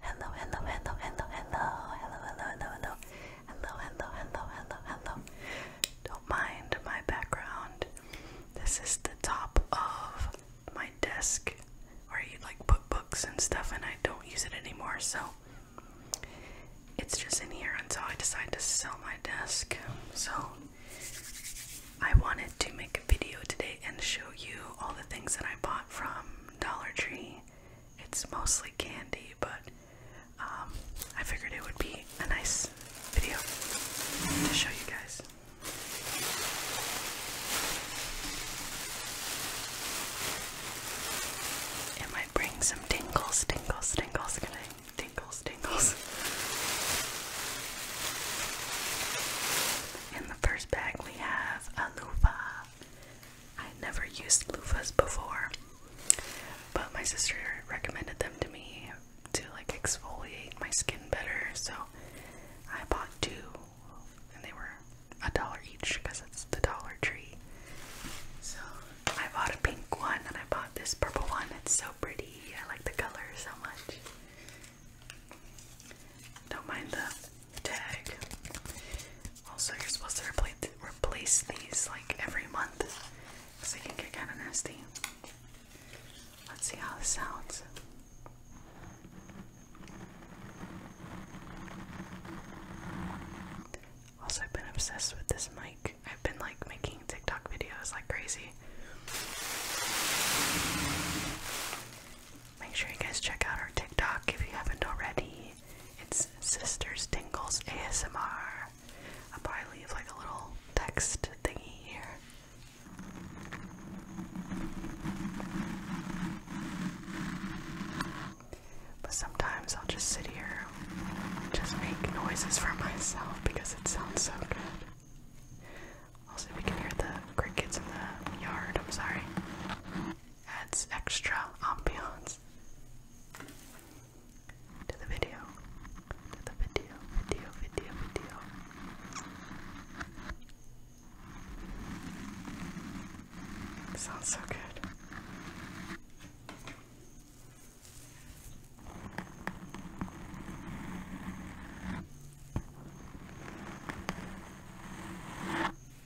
Hello, hello, hello, hello, hello, hello, hello, hello, hello, hello, hello, hello, Don't mind my background. This is the top of my desk where you like put books and stuff, and I don't use it anymore, so it's just in here until I decide to sell my desk. So I wanted to make a video today and show you all the things that I bought from Dollar Tree it's mostly candy, but um, I figured it would be a nice video to show you guys. It might bring some tingles, tingles, tingles, tingles, tingles. In the first bag, we have a loofah. I never used loofahs before, but my sister recommended them to me to like exfoliate my skin better, so I bought two, and they were a dollar each because it's the Dollar Tree. So I bought a pink one, and I bought this purple one. It's so pretty. I like the color so much. Don't mind the tag. Also, you're supposed to replace replace these like every month, because they can get kind of nasty. Let's see how this sounds. Also, I've been obsessed with this mic. I've been like making TikTok videos like crazy. Make sure you guys check out our TikTok if you haven't already. It's Sisters Dingles ASMR. I'll probably leave like a little text thingy here. But sometimes I'll just sit here and just make noises for myself because it sounds so good. Also, we can hear the crickets in the yard. I'm sorry adds extra ambiance to the video. To the video, video, video, video. sounds so good.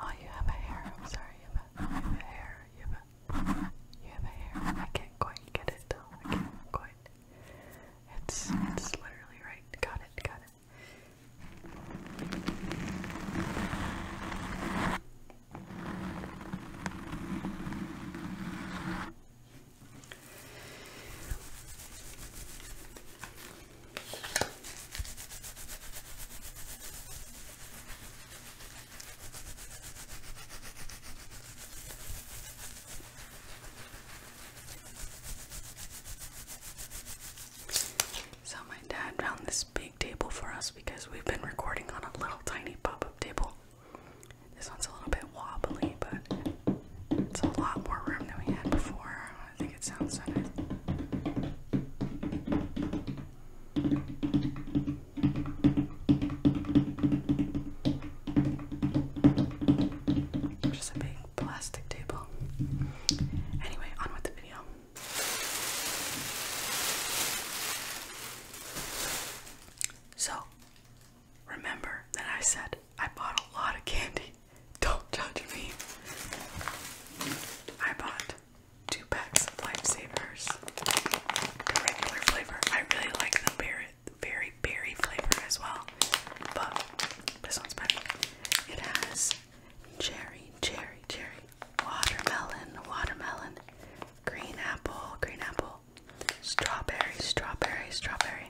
Oh, you have a hair. I'm sorry, you have a, hair. You have a, you have a hair. I can't quite get it though. I can't quite. It's it's literally right. Got it, got it. So, my dad found this big table for us because we've been recording on a little tiny pop up table. This one's a little bit wobbly, but it's a lot more room than we had before. I think it sounds so nice. Just a big plastic table. Anyway, on with the video. So, remember that I said I bought a lot of candy. Don't judge me. I bought two packs of Lifesavers, regular flavor. I really like the berry, very berry flavor as well. But this one's better. It has cherry, cherry, cherry, watermelon, watermelon, green apple, green apple, strawberry, strawberry, strawberry,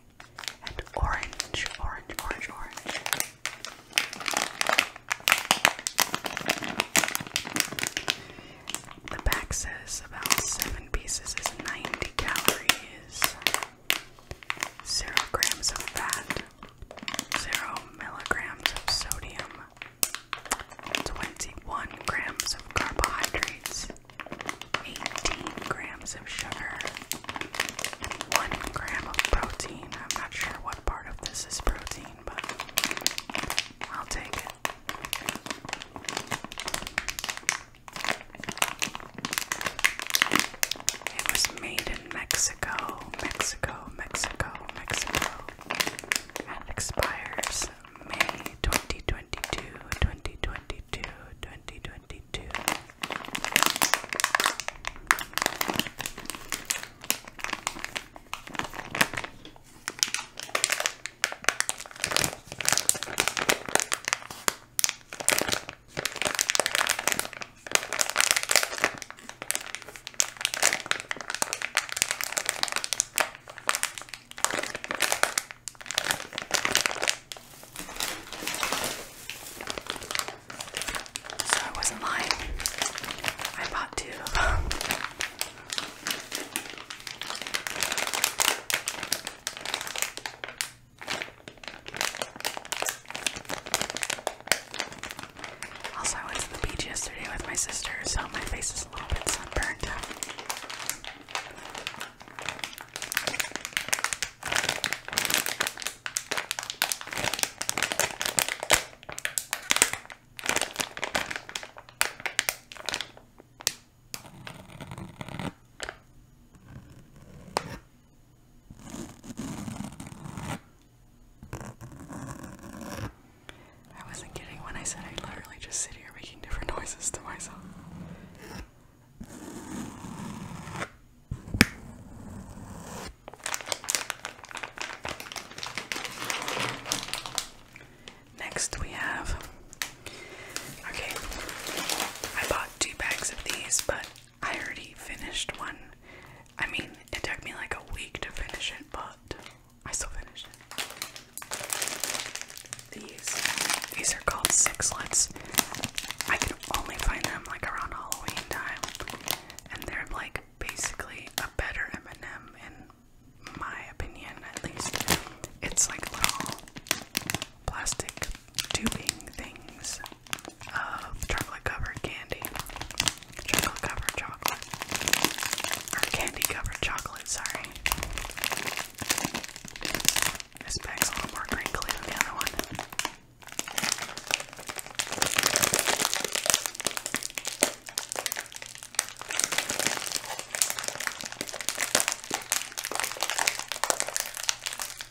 and orange, orange, orange, orange. The back says about seven pieces is 90 calories zero grams of fat, zero milligrams of sodium, 21 grams of carbohydrates, 18 grams of sugar, 1 gram of protein. I'm not sure what part of this is protein, but I'll take it. It was made in Mexico, Mexico, Mexico, Mexico, and expires May 2022, 2022, 2022. So I wasn't lying. I bought two also, I went to the beach yesterday with my sister, so my face is a little bit sunburned. I wasn't kidding when I said I would literally just sit here making different noises to myself. Next, we have. Okay, I bought two bags of these, but I already finished one. I mean, it took me like a week to finish it, but I still finished it. These, these are called sixlets. I can only find them like around Halloween time, and they're like basically a better M&M in my opinion, at least. It's like little plastic tubing things um, chocolate covered candy. Chocolate covered chocolate. Or candy covered chocolate, sorry. This bag's a little more crinkly than the other one.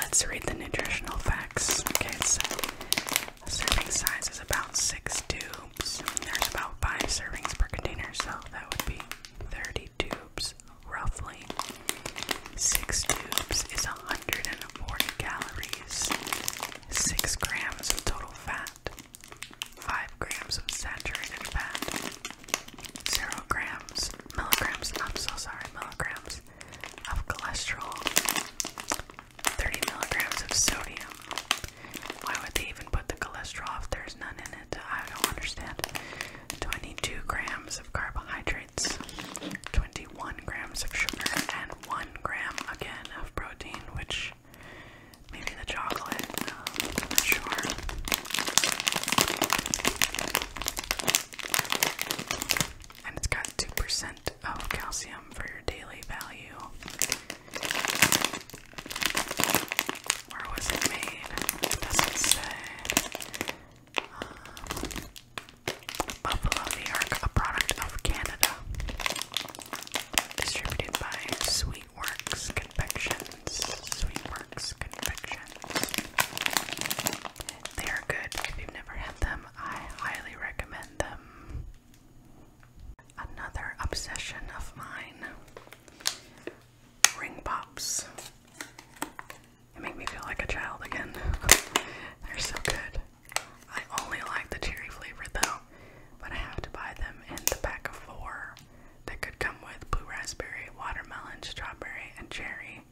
Let's read the nutritional facts. Okay, serving size is about six tubes. There's about five servings per container, so that would be 30 tubes roughly. Six tubes is 140 calories, six grams of total fat. 5 grams of saturated fat, 0 grams, milligrams, I'm so sorry, milligrams of cholesterol, 30 milligrams of sodium. Why would they even put the cholesterol if there's none in it? I don't understand. 22 grams of carbohydrates, 21 grams of sugar, and 1 gram again of protein, which Maybe the chocolate. not sure. And it's got 2% of calcium for your daily value. Where was it made? It does say. Um, Buffalo, New York, a product of Canada. Distributed by Sweet Sweetworks Confections. Sweetworks Confections. They are good. If you've never had them, I highly recommend them. Another obsession of mine ring pops. They make me feel like a child again. They're so good. I only like the cherry flavor though, but I have to buy them in the pack of four that could come with blue raspberry, watermelon, strawberry, and cherry.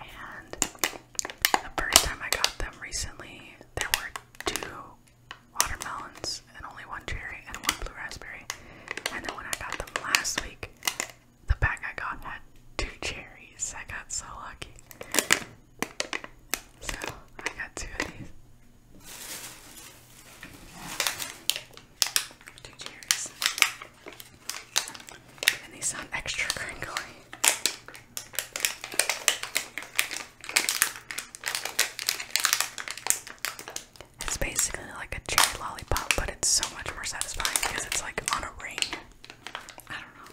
And the first time I got them recently, there were two watermelons and only one cherry and one blue raspberry. And then when I got them last week, the bag I got had two cherries. I got so lucky. So I got two of these. Two cheers. And these sound extra crinkly. It's basically like a cherry lollipop, but it's so much more satisfying because it's like on a ring. I don't know.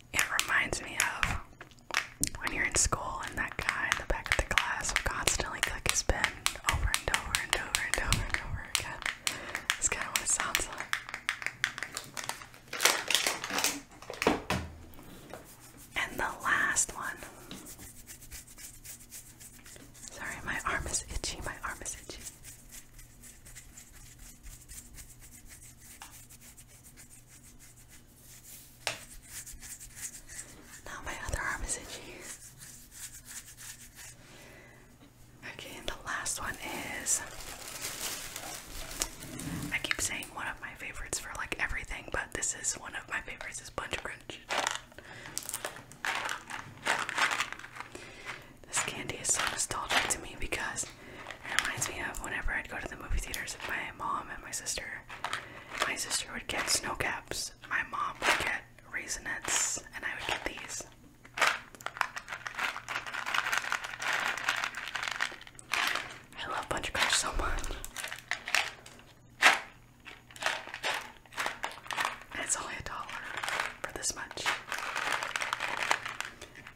It reminds me of when you're in school and that guy in the back of the class will constantly click his pen over and over and over and over and over again. That's kind of what it sounds like. And the last one. Sorry, my arm is itchy. My arm is itchy. Now my other arm is itchy. Okay, and the last one is I keep saying one of my favorites for like everything, but this is one of my favorites is Bunch Crunch. This candy is so nostalgic to me because it reminds me of whenever I'd go to the movie theaters with my mom and my sister. My sister would get snow caps, my mom would get raisinets, and I would get these. I love Bunch Crush so much. it's only a dollar for this much.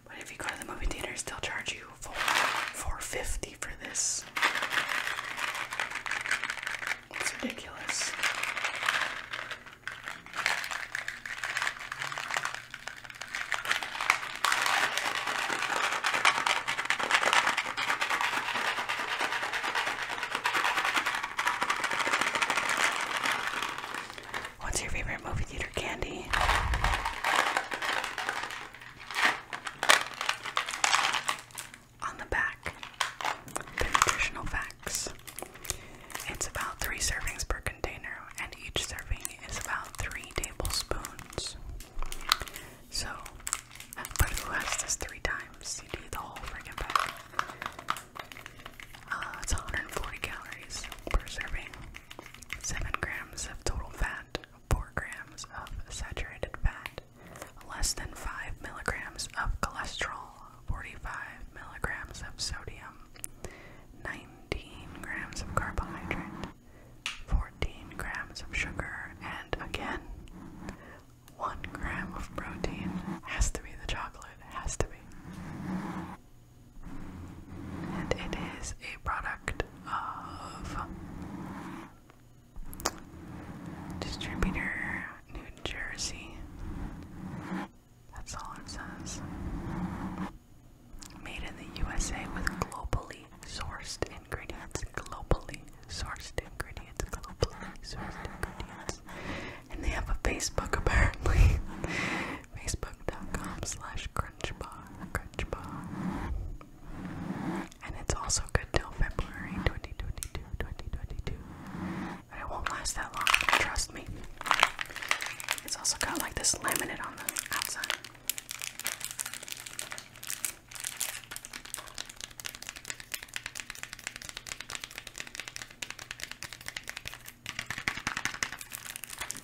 But if you go to the movie theaters, they'll charge you for four fifty for this. It's ridiculous. What's your favorite movie theater candy. On the back, the nutritional facts. It's about three servings per container, and each serving is about three tablespoons. So, but who has this three times? You need the whole freaking bag. Uh, it's 140 calories per serving. 7 grams of total fat, 4 grams of saturated fat, less than 5 milligrams of cholesterol, 45 milligrams of sodium, 19 grams of carbohydrate, 14 grams of sugar, and again, 1 gram of protein. Has to be the chocolate, has to be and it is a product of distributor New Jersey. That's all it says. Made in the USA with globally sourced ingredients, globally sourced ingredients, globally sourced ingredients. And they have a Facebook apparently. Facebook.com slash crunchbar. And it's also good till February 2022, 2022. it won't last that long, trust me. It's also got like this laminate on the outside.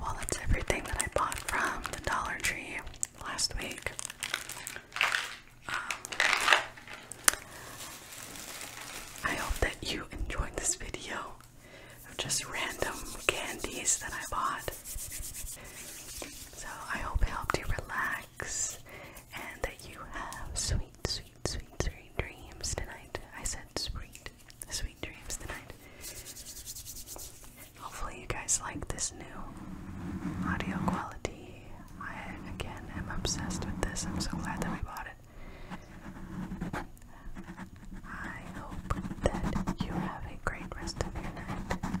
Well, that's everything that I bought from the Dollar Tree last week. Um, I hope that you enjoyed this video of just random candies that I bought. So I hope it helped you relax and that you have sweet, sweet, sweet, sweet dreams tonight. I said sweet, sweet dreams tonight. Hopefully, you guys like this new audio quality. I again am obsessed with this. I'm so glad that we bought it. I hope that you have a great rest of your night